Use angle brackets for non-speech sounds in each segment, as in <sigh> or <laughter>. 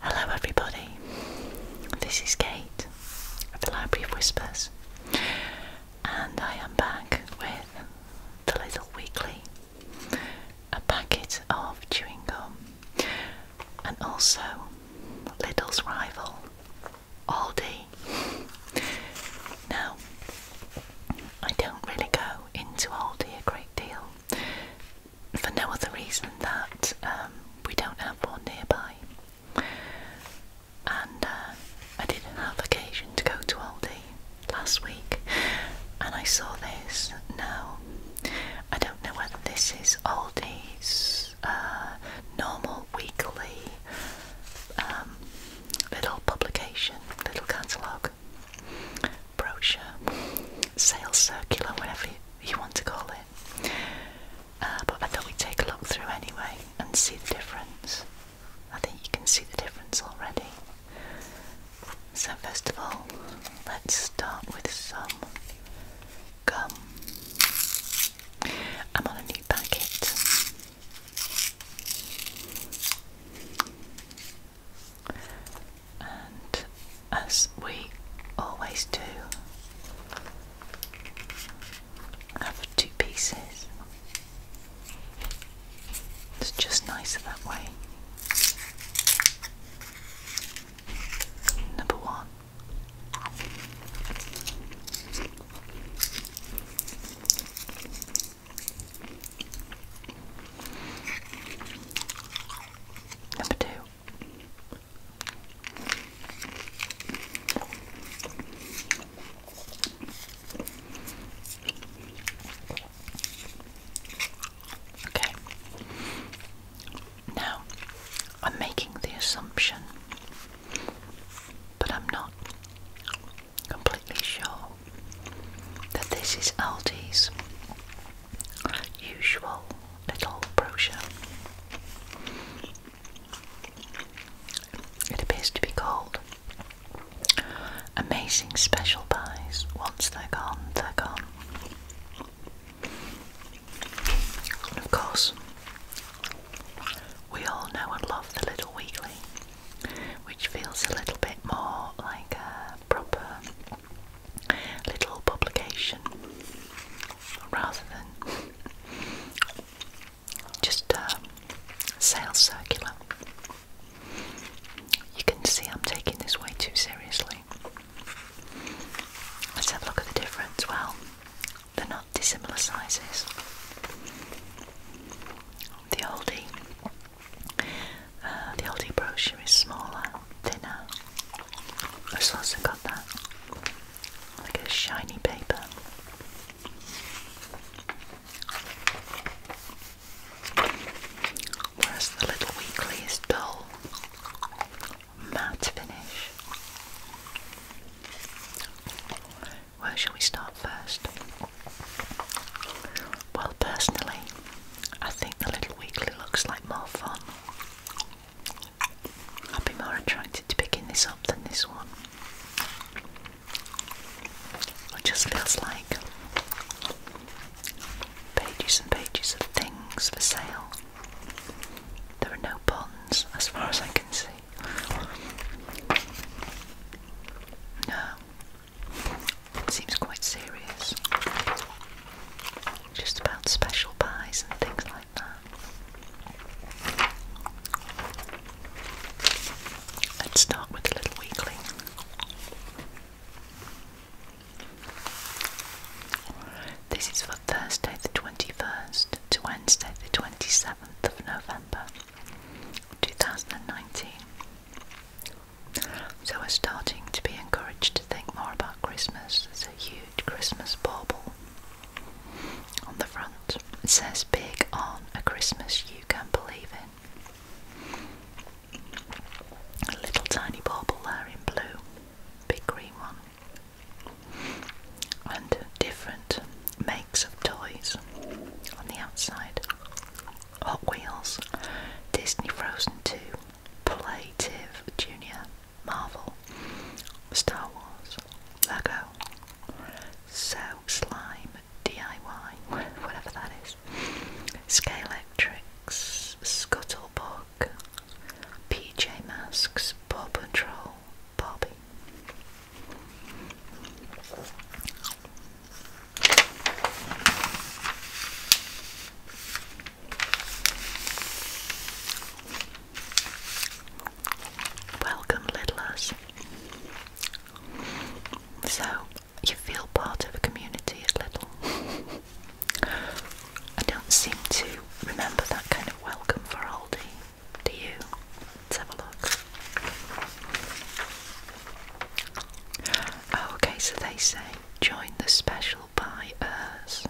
Hello, everybody. This is Kate at the Library of Whispers, and I am back with the Little Weekly, a packet of chewing gum, and also Little's rival, Aldi. Now, I don't really go into Aldi a great deal for no other reason than that um, we don't have one nearby. And uh, I did not have occasion to go to Aldi last week and I saw this. Now, I don't know whether this is Aldi's uh, normal weekly um, little publication, little catalogue, brochure, sales circular, whatever you, want to call it. Uh, but I thought we'd take a look through anyway and see the difference. I think you can see the difference already. So, first of all, let's start with some gum. I'm on a new packet and as we always do, have two pieces. It's just nicer that way. Number one. Number two. Okay. Now, I'm making the assumption, but I'm not completely sure that this is Aldi's usual little brochure. It appears to be called Amazing Special Buys. Once they're gone, they're gone. of course, we all know and love the Little Weekly, which feels a little bit more like a proper little publication rather than just a uh, sales circular. You can see I'm taking this way too seriously. Let's have a look at the difference. Well, they're not dissimilar sizes. The oldie uh, the LD brochure is smaller, thinner. I've also got that. Like a shiny paper. Whereas the little weekly is dull, matte finish. Where shall we start first? Well, personally, I think the little weekly looks like more fun. I'd be more attracted to picking this up than this one. It just feels like pages and pages of things for sale. There are no bonds, as far as I can see. No. It seems quite serious. Just about special pies and things like that. Let's start with the little weekly. This is for Thursday the 21st to Wednesday the 27th of November 2019. So we're starting to be encouraged to think more about Christmas. There's a huge Christmas bauble on the front. It says big on a Christmas you can believe in. A little tiny bauble there in blue, big green one. And different makes of toys on the outside. Hot Wheels, Disney Frozen 2, Plative Junior, Marvel, Star Wars, Lego, So Slime DIY, whatever that is, Electrics, Scuttlebug, PJ Masks, Paw Patrol, Bobby. Welcome, Lidlers. So, you feel part of a community at Little. I don't seem to remember that kind of welcome for Aldi. Do you? Let's have a look. Oh, okay, so they say join the special by us,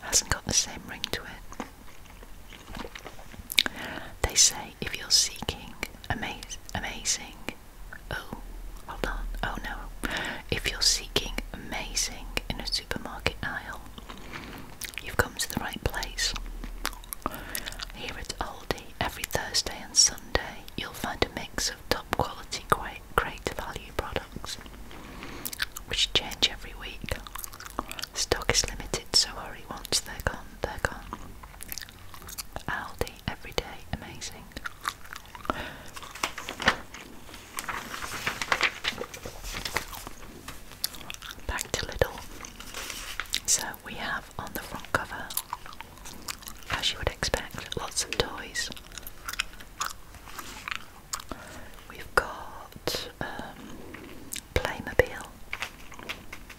Hasn't got the same ring to it. They say if you're seeking amazing, oh, hold on, oh no, if you're seeking amazing in a supermarket aisle, you've come to the right place. Here at Aldi, every Thursday and Sunday, you'll find a mix of top quality goods great value products which change every week. Stock is limited, so hurry once they're gone, they're gone. Aldi every day, amazing. Back to Lidl. So we have on the front cover, as you would expect, lots of toys. We've got um, Playmobil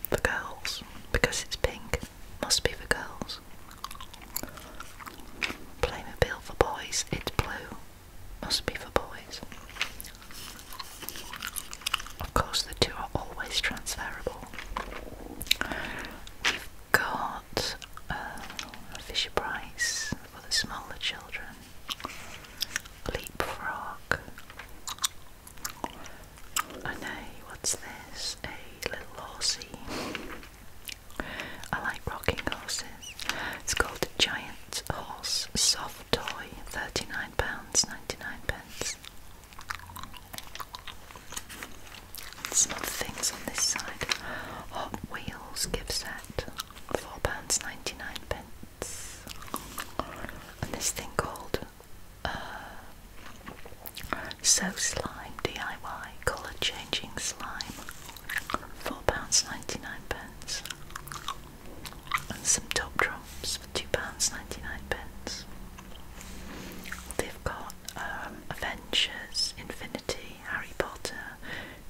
for girls because it's pink. Must be for girls. Playmobil for boys. It's blue. Must be for boys. Of course, the two are always transferable got Fisher Price for the smaller children, Leapfrog, and a what's this? A little horsey. I like rocking horses. It's called the Giant Horse Soft Toy, £39.99. pence. Some other things on this side. Hot Wheels gift set, £4.99. And this thing called uh, So Slime DIY Colour Changing Slime, £4.99. And some top Drops, for £2.99. They've got um, Avengers Infinity Harry, Potter,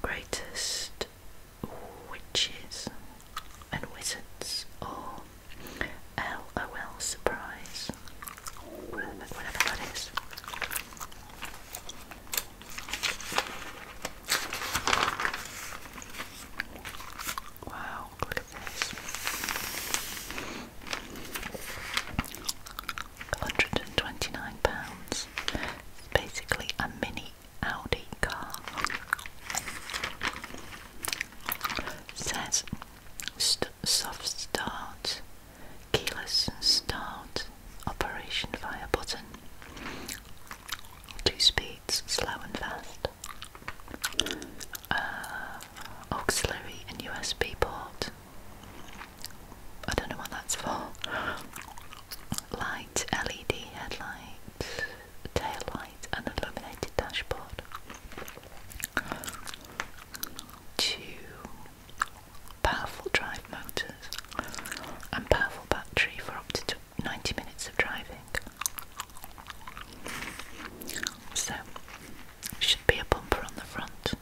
greatest witches and wizards, or well surprise, whatever that is. Wow, look at this. 129 pounds. It's basically a mini Audi car. says soft start, keyless start, operation via button, two speeds, slow and fast, uh, auxiliary and USB port. I don't know what that's for. Light, LED headlights, tail lights, and illuminated dashboard. Two powerful drive motors and powerful battery for up to 90 minutes of driving. So, should be a bumper on the front.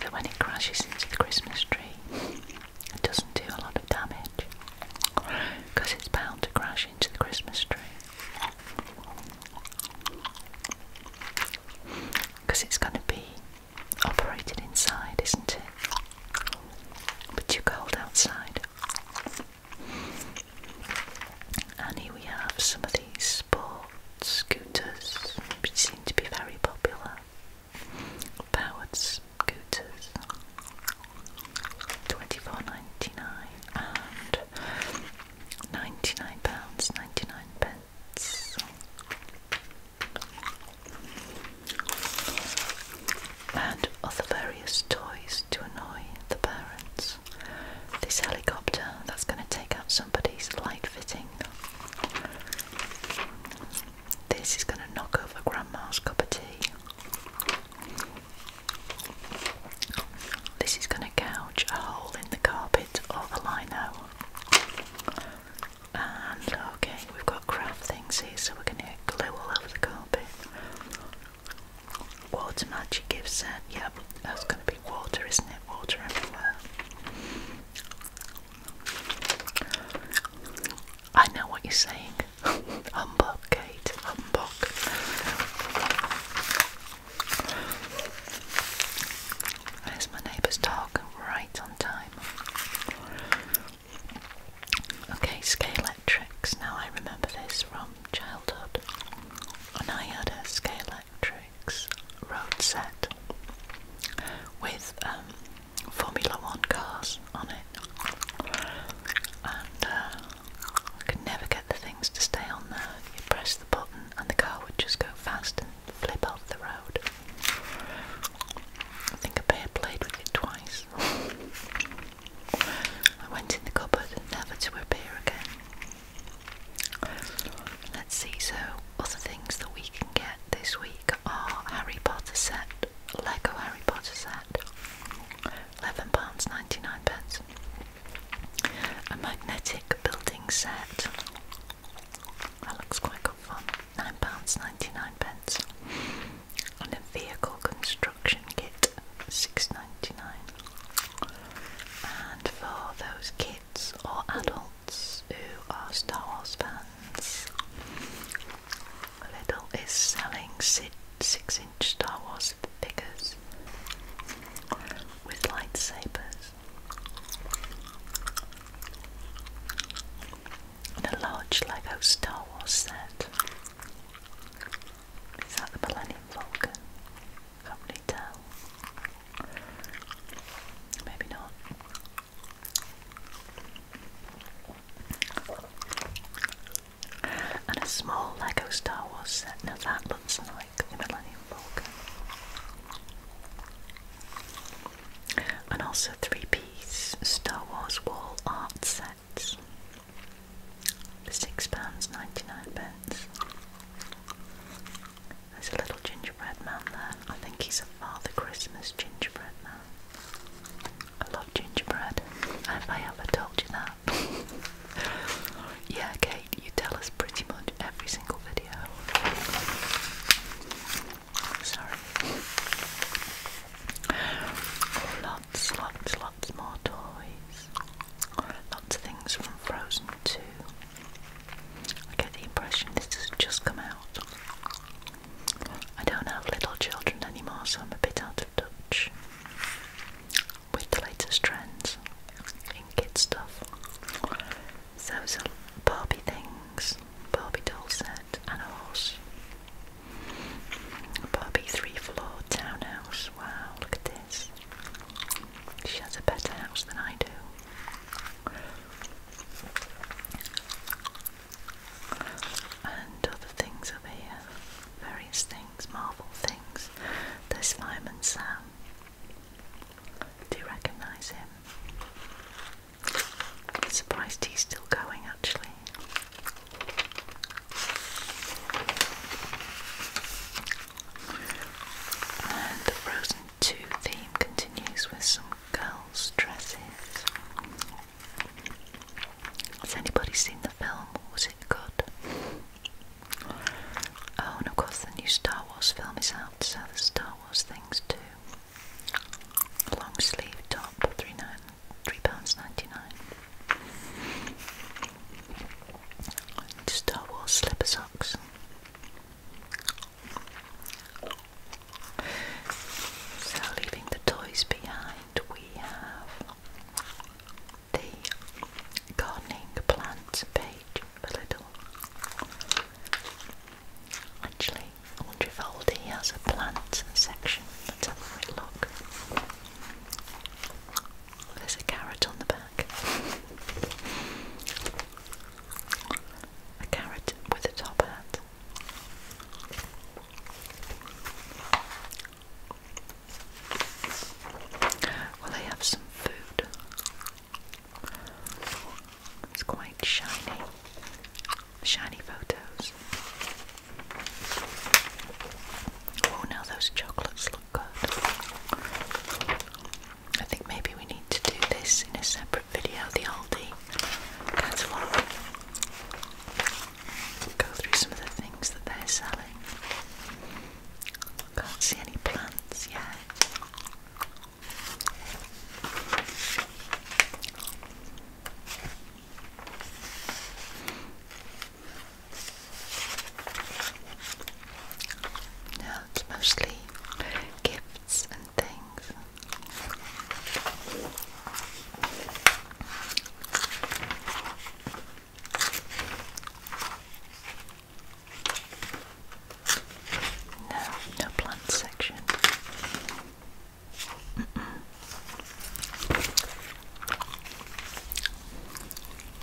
So when it crashes into the Christmas tree, it doesn't do a lot of damage because it's bound to crash into the Christmas tree. Because it's going to be operated inside, isn't it? But too cold outside. And here we have some of these sport scooters, which seem to be very popular powered scooters, 24 and £99.99 pence. And other various toys to annoy the parents. This helicopter that's going to take out somebody's light fitting. This is going to knock over Grandma's cup of tea. This is going to gouge a hole in the carpet or the lino. And okay, we've got craft things here, so we're going to glue all over the carpet. Water magic gift set, yep, that's going to be water, isn't it? Water everywhere. I know what you're saying. <laughs> Humbug, Kate. Humbug. There's my neighbour's dog, right on time. Okay, Scalectrics. Now I remember this from childhood. And I had a road set with um, Formula One cars on it, and could uh, never get the things to stay on there. You press the button, and the car would just go fast and flip off the road. I think I may played with it twice. <laughs> I went in the cupboard, never to appear again. Let's see, so other things that we can get this week week Harry Potter set, Lego Harry Potter set, £11, 99 pence. A magnetic building set, that looks quite good fun, £9.99 pence. And a vehicle construction kit, six ninety nine. And for those kids or adults who are Star Wars fans, Little is selling six inch Star Wars figures with lightsabers and a large Lego Star Wars set. Is that the Millennium Falcon? Can't really tell. Maybe not. And a small Lego Star Wars set. Now that looks like the Millennium Falcon. And also three piece Star Wars wall art sets. £6.99. There's a little gingerbread man there. I think he's a Father Christmas gingerbread man. I love gingerbread. Have I ever told you that? <laughs> yeah, Kate, you tell us pretty much every single video. Sorry. Lots, lots, lots more toys. Lots of things from Frozen 2. I get the impression this has just come out. I don't have little children anymore, so I'm a bit out of touch with the latest trends in kid stuff. So some Barbie things, Barbie doll set and a horse. A Barbie three floor townhouse. Wow, look at this. She has a better house than I do and other things up here, various things, Marvel things. There's Fireman Sam. Do you recognise him? I'm surprised he's still going actually. And the Frozen 2 theme continues with some girls' dresses. Has anybody seen the film? Was it good? Oh, and of course, the new Star Wars film is out, so the Star Wars things too. Long sleeve top, three nine, three pounds ninety nine. Star Wars slipper socks. So, leaving the toys behind, we have the gardening plant page a little. Actually, I wonder if Aldi has a plant section. Let's have a look. There's a carrot on the back. A carrot with a top hat. Well, I have some food. It's quite shiny. Shiny photos. Oh, now those chocolates look good. I think maybe we need to do this in a separate video, the Aldi catalogue. Go through some of the things that they're selling. Can't see any plants yet. No, mostly gifts different things. No, no plant section.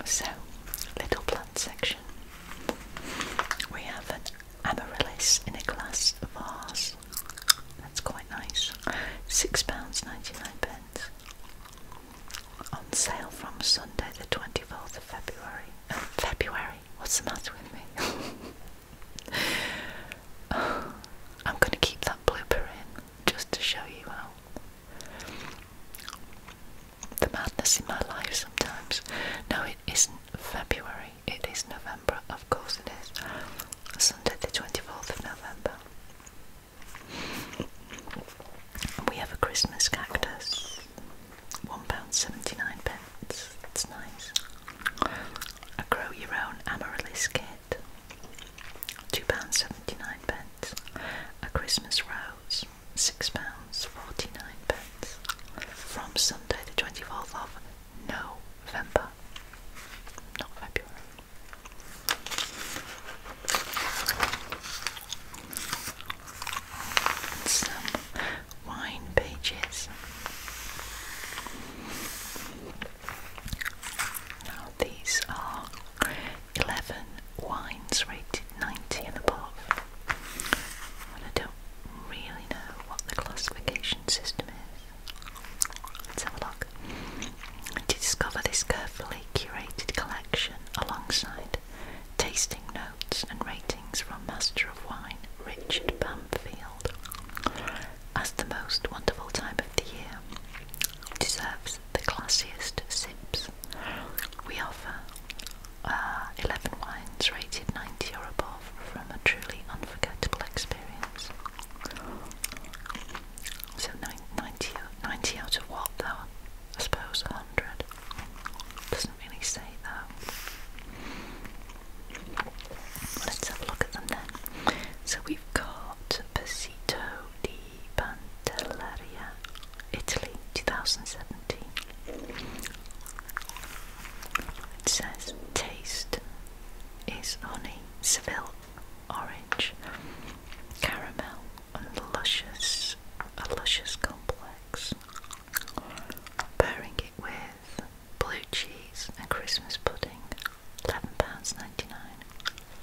So, little plant section. We have an Amaryllis in a glass vase. That's quite nice. £6.99 pence. On sale from Sunday the 24th of February. <laughs> February? What's the matter with me? <laughs> I'm going to keep that blipper in just to show you how the madness in my life sometimes. No, it isn't February. It is November, of course it is. Sunday the 24th of November. We have a Christmas cactus. £1.79. That's nice. A grow your own amaryllis kit. £2.79. A Christmas rose. £6.49. From Sunday the 24th of November not And some wine pages. Now these are eleven wines rated ninety and above. I don't really know what the classification system is. Let's have a look. To discover this carefully curated collection alongside tasting notes and ratings from Master of Wine Richard Bamfield as the most wonderful time of the year deserves the classiest sips. We offer uh, 11 wines rated 90 or above from a truly unforgettable experience. So 90, out of what though? I suppose 100. Doesn't really say though. Let's have a look at them then. So we've got Pasito di Pantelleria, Italy, 2017. It says taste is honey, Seville orange, caramel, and luscious, a luscious complex. Pairing it with blue cheese and Christmas pudding, £11.99.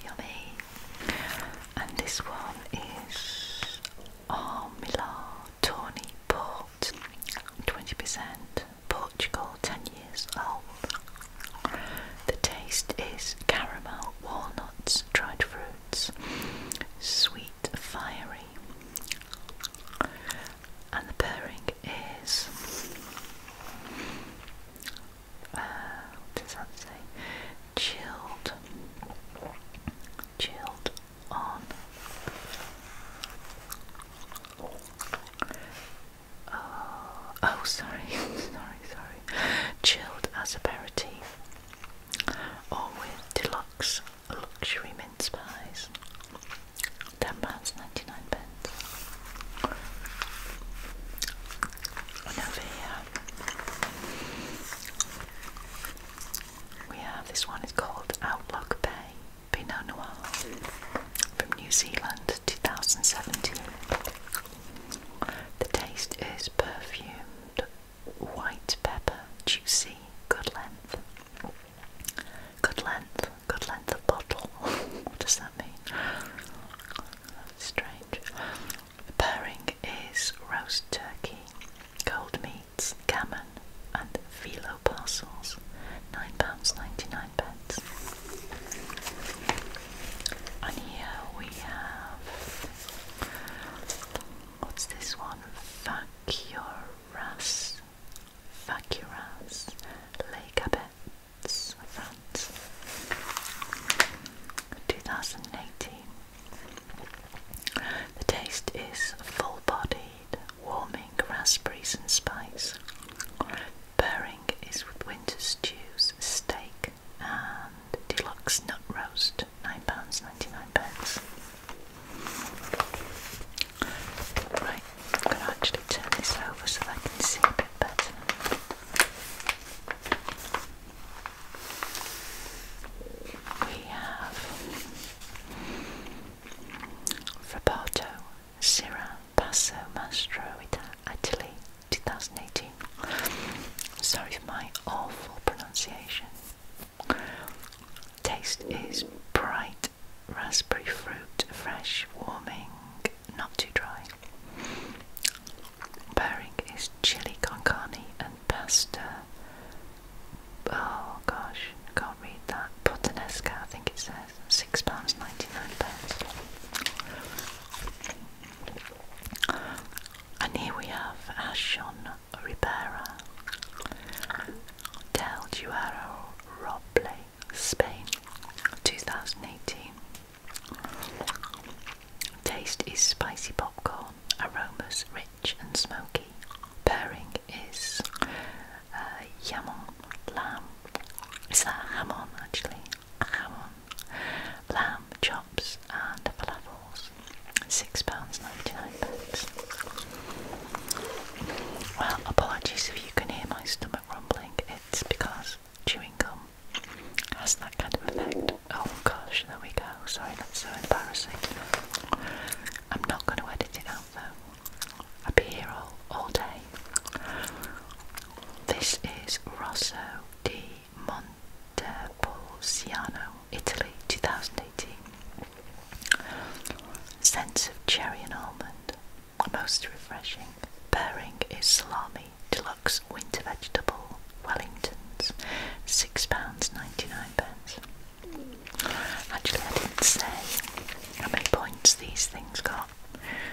Yummy! And this one is Armila Tawny Paw 20%, Portugal, 10 years old. The taste is caramel, walnuts, dried fruits, sweet, fiery. And the pairing is, uh, what does that say? Chilled, chilled on Oh, oh, sorry, <laughs> sorry, sorry. Chilled as aperitif, or with deluxe luxury mince pies. Ten pounds ninety nine pence. And over here we have this one. is called Outlook Bay. Pinot Noir from New Zealand 2017. The taste is perfumed white pepper, juicy, good length. Good length, good length of bottle. <laughs> what does that mean? strange. The pairing is roast turkey, cold meats, gammon, and filo parcels, £9.99. And here we have, what's this one? Vacuras, Vacuras, Les Gabettes, France, 2018. The taste is full bodied, warming raspberries and spice. Burring is with winter stews, steak and deluxe nut roast, £9.99. Right, I'm going to actually turn this over so I can see a bit better. We have Frappato Sera Passo Mastro Italy 2018. Sorry for my awful pronunciation. Taste is bright raspberry fruit, fresh, warming, not too dry. Pairing is chili con carne and pasta. Oh gosh, can't read that. Puttanesca, I think it says six pounds ninety nine pence. And here we have Ashon Ribera, Del Duero Roble, Spain, 2018. Taste is spicy popcorn, aromas rich and smoky. Pairing is uh, jamon, lamb. Is that hamon actually? Hamon, lamb chops and falafels. Six pounds ninety-nine pence. Well, apologies if you can hear my stomach rumbling. It's because chewing gum has that kind of effect. Oh gosh, there we go. Sorry, that's so embarrassing. I'm not going to edit it out though. I'd be here all, all day. This is Rosso di Montepulciano, Italy, 2018. Sense of cherry and almond, most refreshing. Pairing is salami, deluxe winter vegetable, Wellingtons, £6.99. Actually, I didn't say how many points these things got.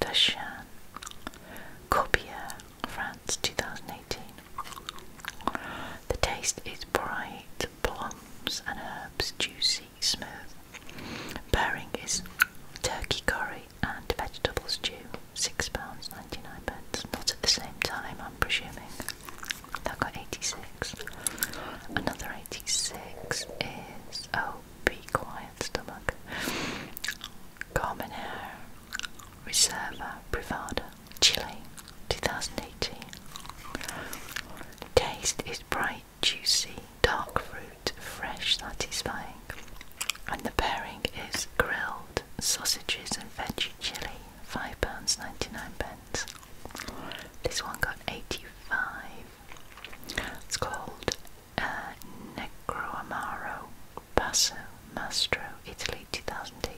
Dachan, Corbière, France 2018. The taste is bright, plums and herbs, juicy, smooth. Pairing is turkey curry and vegetable stew, £6.99. Not at the same time, I'm presuming. That got 86. Another 86 is, oh, be quiet stomach. Common air, Reserva Privada, Chile, 2018. Taste is bright, juicy, dark fruit, fresh, satisfying. And the pairing is grilled sausages and veggie chili, £5.99. pence. This one got 85. It's called uh, Necro Amaro, Passo Mastro, Italy 2018.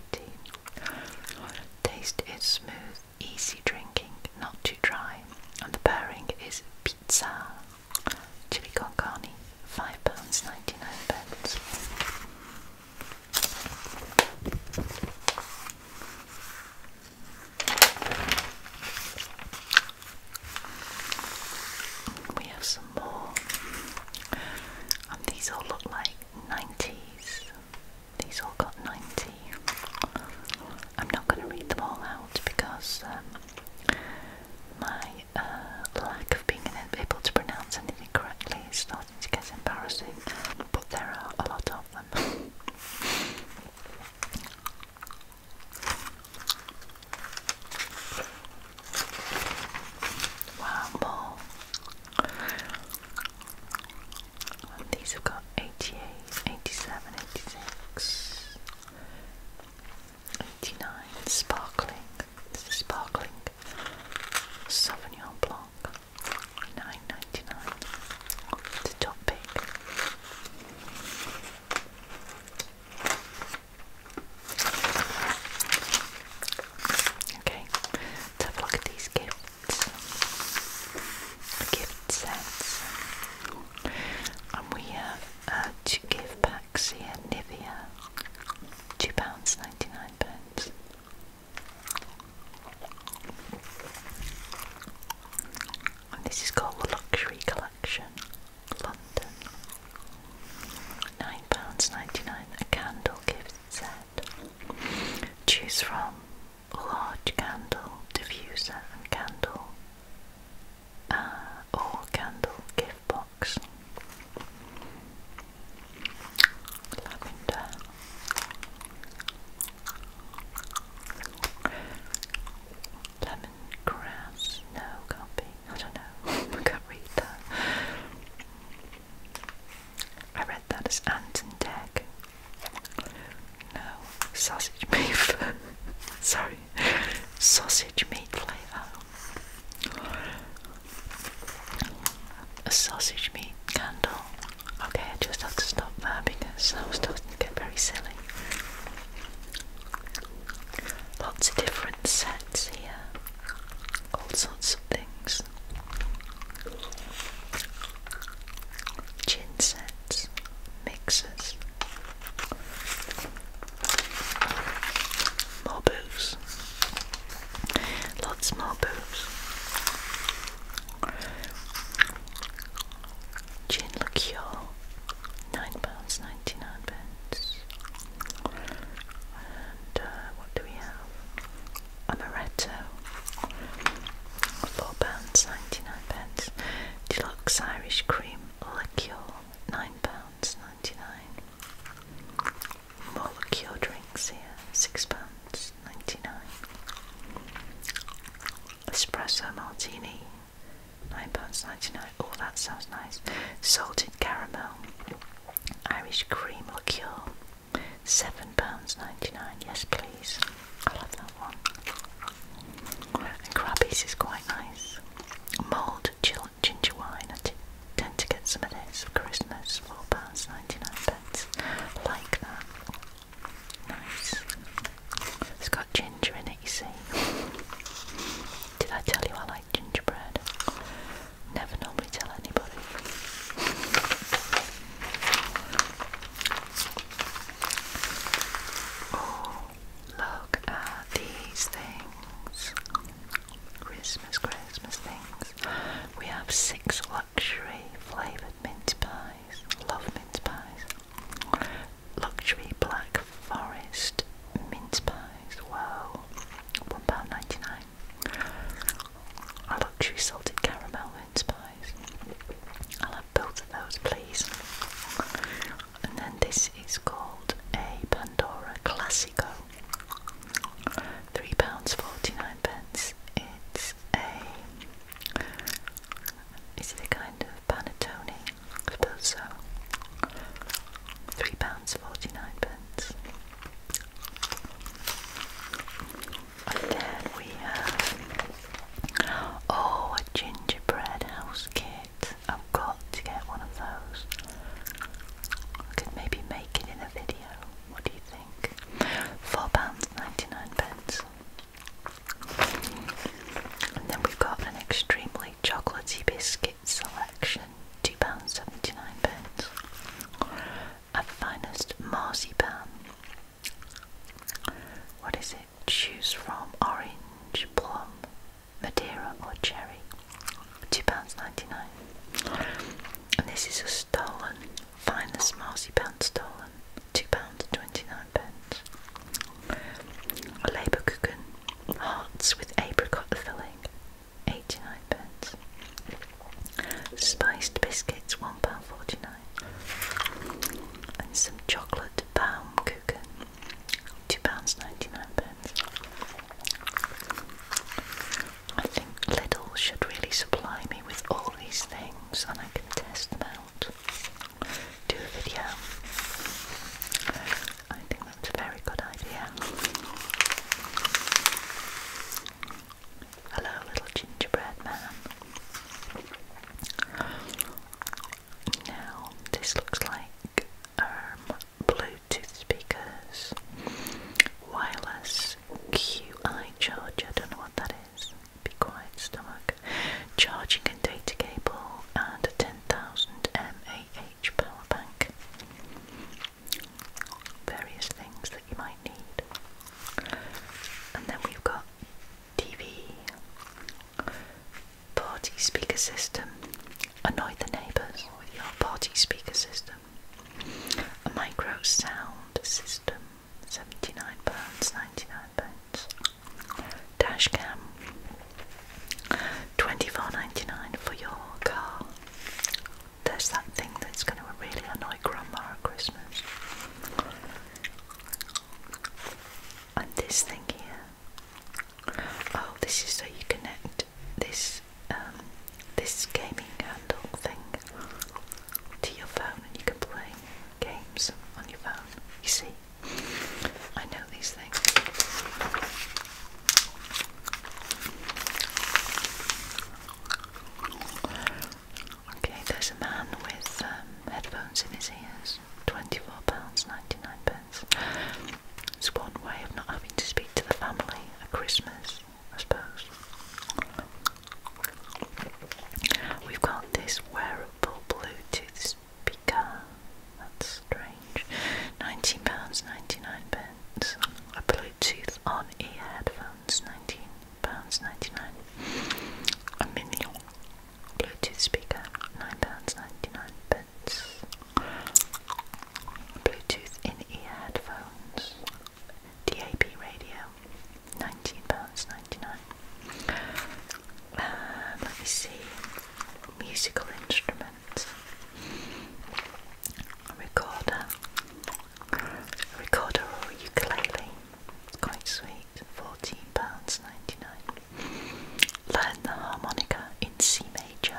Taste is smooth, easy drinking, not too dry, and the pairing is pizza, chili con carne, £5.99. We have some more. And um, these all look like 90s. These all got 90. I'm not going to read them all out because um, my uh, lack of being able to pronounce anything correctly is starting to get embarrassing. But there are a lot of them. Wow, these have got 88, 87, 86, 89, sparkling. This is sparkling Sauvignon Blanc. 9.99. The top pick. Okay, let's have a look at these gifts. gift sets. And we have uh, two gift packs here, Nivea. £2.99. Pence. this is called the Luxury Collection. £9.99 a candle gift set. Choose from large candle, diffuser and candle uh, or candle gift box. Lavender. Lemongrass, no, can I don't know. <laughs> I can't read that. I read that as Anton Deck. No, sausage meat. <laughs> Sorry, sausage meat flavour. A sausage meat candle. Okay, I just have to stop there because I was starting to get very silly. Lots of different sets here all sorts of things. Gin sets, mixers, more booze, lots more booze. Gin liqueur, nine pounds ninety nine pence. And uh, what do we have? Amaretto. £4.99. Deluxe Irish Cream Liqueur. £9.99. More liqueur drinks here. £6.99. Espresso Martini. £9.99. Oh, that sounds nice. Salted caramel, Irish cream liqueur, seven pounds ninety-nine. Yes, please. I love that one. And is quite nice. Mulled ginger wine. I tend to get some of this for Christmas. Four pounds ninety-nine pence. Like that. Nice. It's got ginger in it, you see. Did I tell you I like? gingerbread. Never normally tell anybody. Oh, look at these things. Christmas, Christmas things. We have six luxury flavoured mince pies. Love mince pies. Luxury black forest mince pies, wow, £1.99. A luxury salted caramel mince pies. I'll have both of those, please. And then this is called a Pandora Classico. £3.49. pence. It's a. Is it a kind of panettone? I three pounds forty nine pence. And then we have oh a gingerbread house kit. I've got to get one of those. I could maybe make it in a video. What do you think? Four pounds ninety nine pence. And then we've got an extremely chocolatey biscuit selection. £2.79. Our finest marzipan. What is it? Choose from orange, plum, Madeira, or cherry. £2.99. And this is a stolen, finest marzipan stolen. £2.29. pence. A labour cooking, hearts with apricot filling. 89 pence. Spiced biscuits, £1.49. And some chocolate Baumkuchen, £2.99. I think Lidl should really supply me with all these things and I can test them out. Do a video. I think that's a very good idea. Hello, little gingerbread man. Now, this looks like um, Bluetooth speakers, wireless QI charger. I don't know what that is. Be quiet, stomach. Charging and data cable, and a 10,000 mAh power bank various things that you might need. And then we've got TV, party speaker system. Annoy the neighbours with your party speaker system. A micro sound system, £79, 99 pounds. Dash cam, 24 for your car there's that thing that's going to really annoy Grandma at Christmas. And this thing here. Oh, this is so you connect this um, this gaming handle thing to your phone, and you can play games on your phone. You see, I know these things. Okay, there's a man with um, headphones in his ears. £24.99. It's one way of not having to speak to the family at Christmas, I suppose. We've got this wearable Bluetooth speaker. That's strange. Nineteen pounds ninety nine pence. A Bluetooth on ear headphones, nineteen pounds ninety nine. A minion Bluetooth speaker, nine pounds ninety nine pence. Bluetooth in ear headphones. D A P radio, nineteen pounds ninety nine. Uh, let me see. Musical instrument different recorder, recorder or ukulele. It's quite sweet. Fourteen pounds ninety-nine. Learn the harmonica in C major.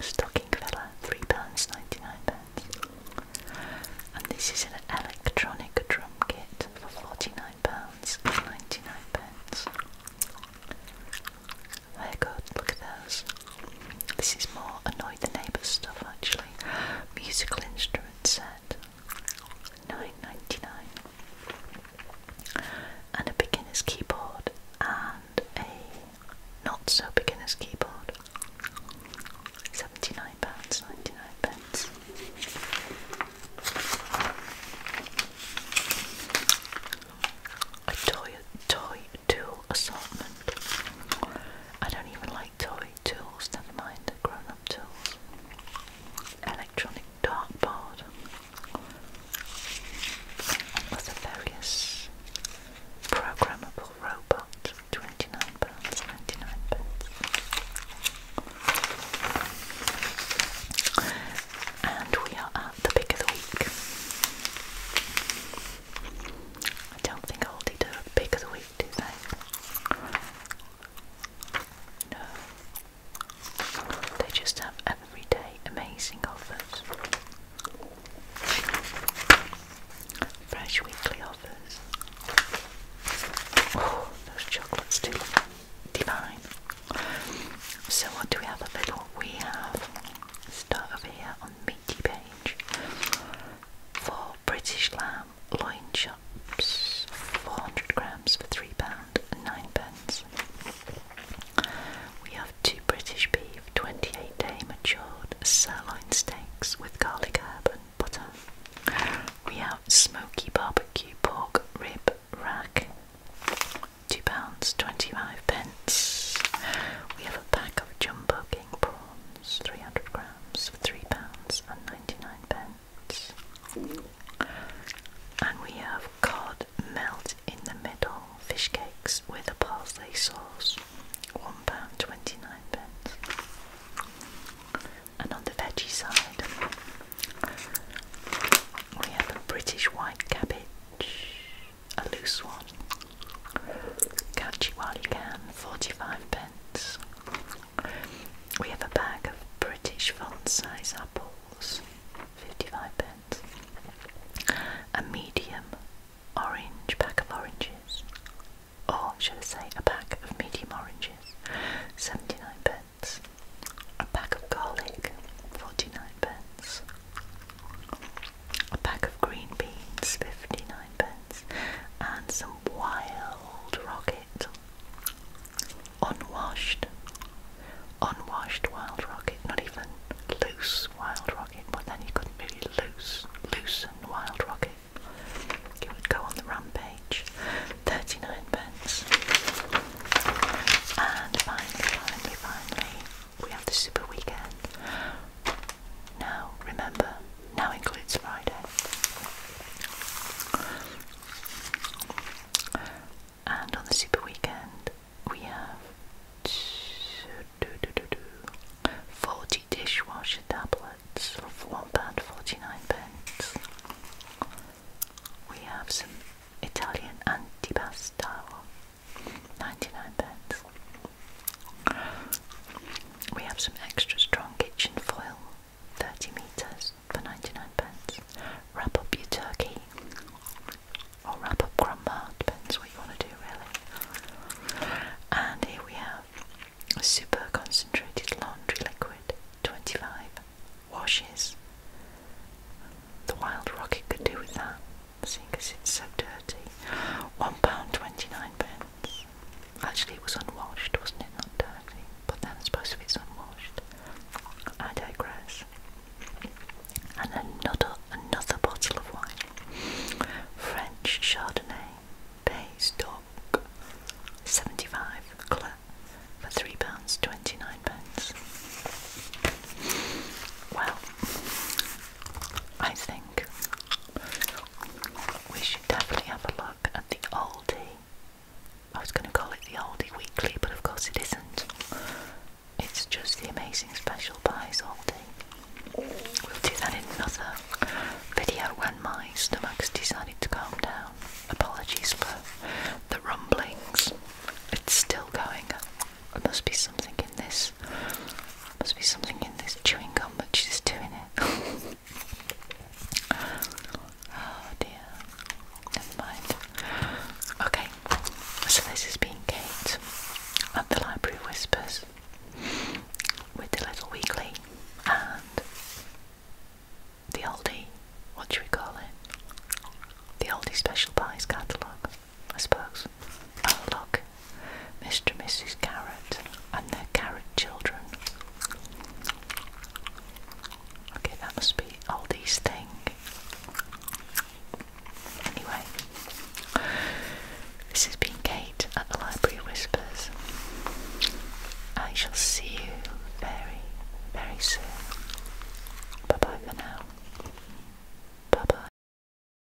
Stocking filler, three pounds ninety-nine pence. And this is an electronic drum kit for forty-nine pounds ninety-nine pence they oh, good, look at those. This is more annoy the neighbours stuff actually. Musical instrument set. 9 99 and a beginner's keyboard and a not so beginner's keyboard £79.99 pence a toy toy tool assortment. I don't even like toy tools, never mind the grown-up tools. Electronic dartboard. With a various programmable robot, twenty-nine pounds, ninety-nine pence. And we are at the pick of the week. I don't think I'll need a pick they? No. They just have everyday amazing offers. Fresh weekly offers. Oh, those chocolates do divine. So what do we have a little? We have start here on me wiki for British lamb loin chops, 400 grams for 3 pounds nine pence. We have two British beef 28 day matured sirloin steaks with garlic herb and butter. We have smoky barbecue pork rib rack, £2.25. pence. We have a pack of jumbo king prawns, 300 grams, for £3.99. and pence. And we have cod melt in the middle, fish cakes with a parsley sauce, one pound twenty-nine pence. And on the veggie side, we have a British white cabbage, a loose one. Catch you while you can, 45 pence. We have a bag of British font size apples, 55 pence. A medium orange pack of oranges, or should I say, a pack of medium oranges, 79 pence. A pack of garlic, 49 pence a pack of green beans, 59 pence, and some wild rocket, unwashed, unwashed wild rocket, not even loose wild rocket, but then you could really loose, loosen wild rocket. It would go on the rampage. 39 pence. And finally, finally, we have the super weekend. Now, remember, now includes Friday. And on the super weekend, we have 40 dishwasher tablets for £1.49. We have some Italian antipasta 99 pence. We have some extra strong kitchen foil, 30 metres for 99 pence. Wrap up your turkey or wrap up grandma, depends what you want to do really. And here we have super concentrated laundry liquid, 25 washes. The wild rocket could do with that. Because it's so dirty. £1.29. pence. Actually, it was unwashed, wasn't it? Not dirty. But then I suppose if it's unwashed, I digress. And another, another bottle of wine. French Chardonnay, Baystock, 75 cl for £3.29. Well, I think we should definitely have a look at the Aldi. I was going to call it the Aldi Weekly, but of course it isn't. It's just the amazing special buys Aldi. We'll do that in another video when my stomach's decided to calm down. Apologies for the rumblings. It's still going. There must be something in this. There must be something in this chewing gum But she's doing it. <laughs> oh dear. Never mind. Okay, so this has been Kate at the Library Whispers with the Little Weekly and the oldie, what should we call it? The oldie special buys catalogue. I suppose. Oh, look, Mr. and Mrs. Garrett and their carrot children. Okay, that must be Oldie's thing. Anyway, this has been Kate at the Library Whispers. I shall see you very, very soon. Bye bye for now. Bye bye.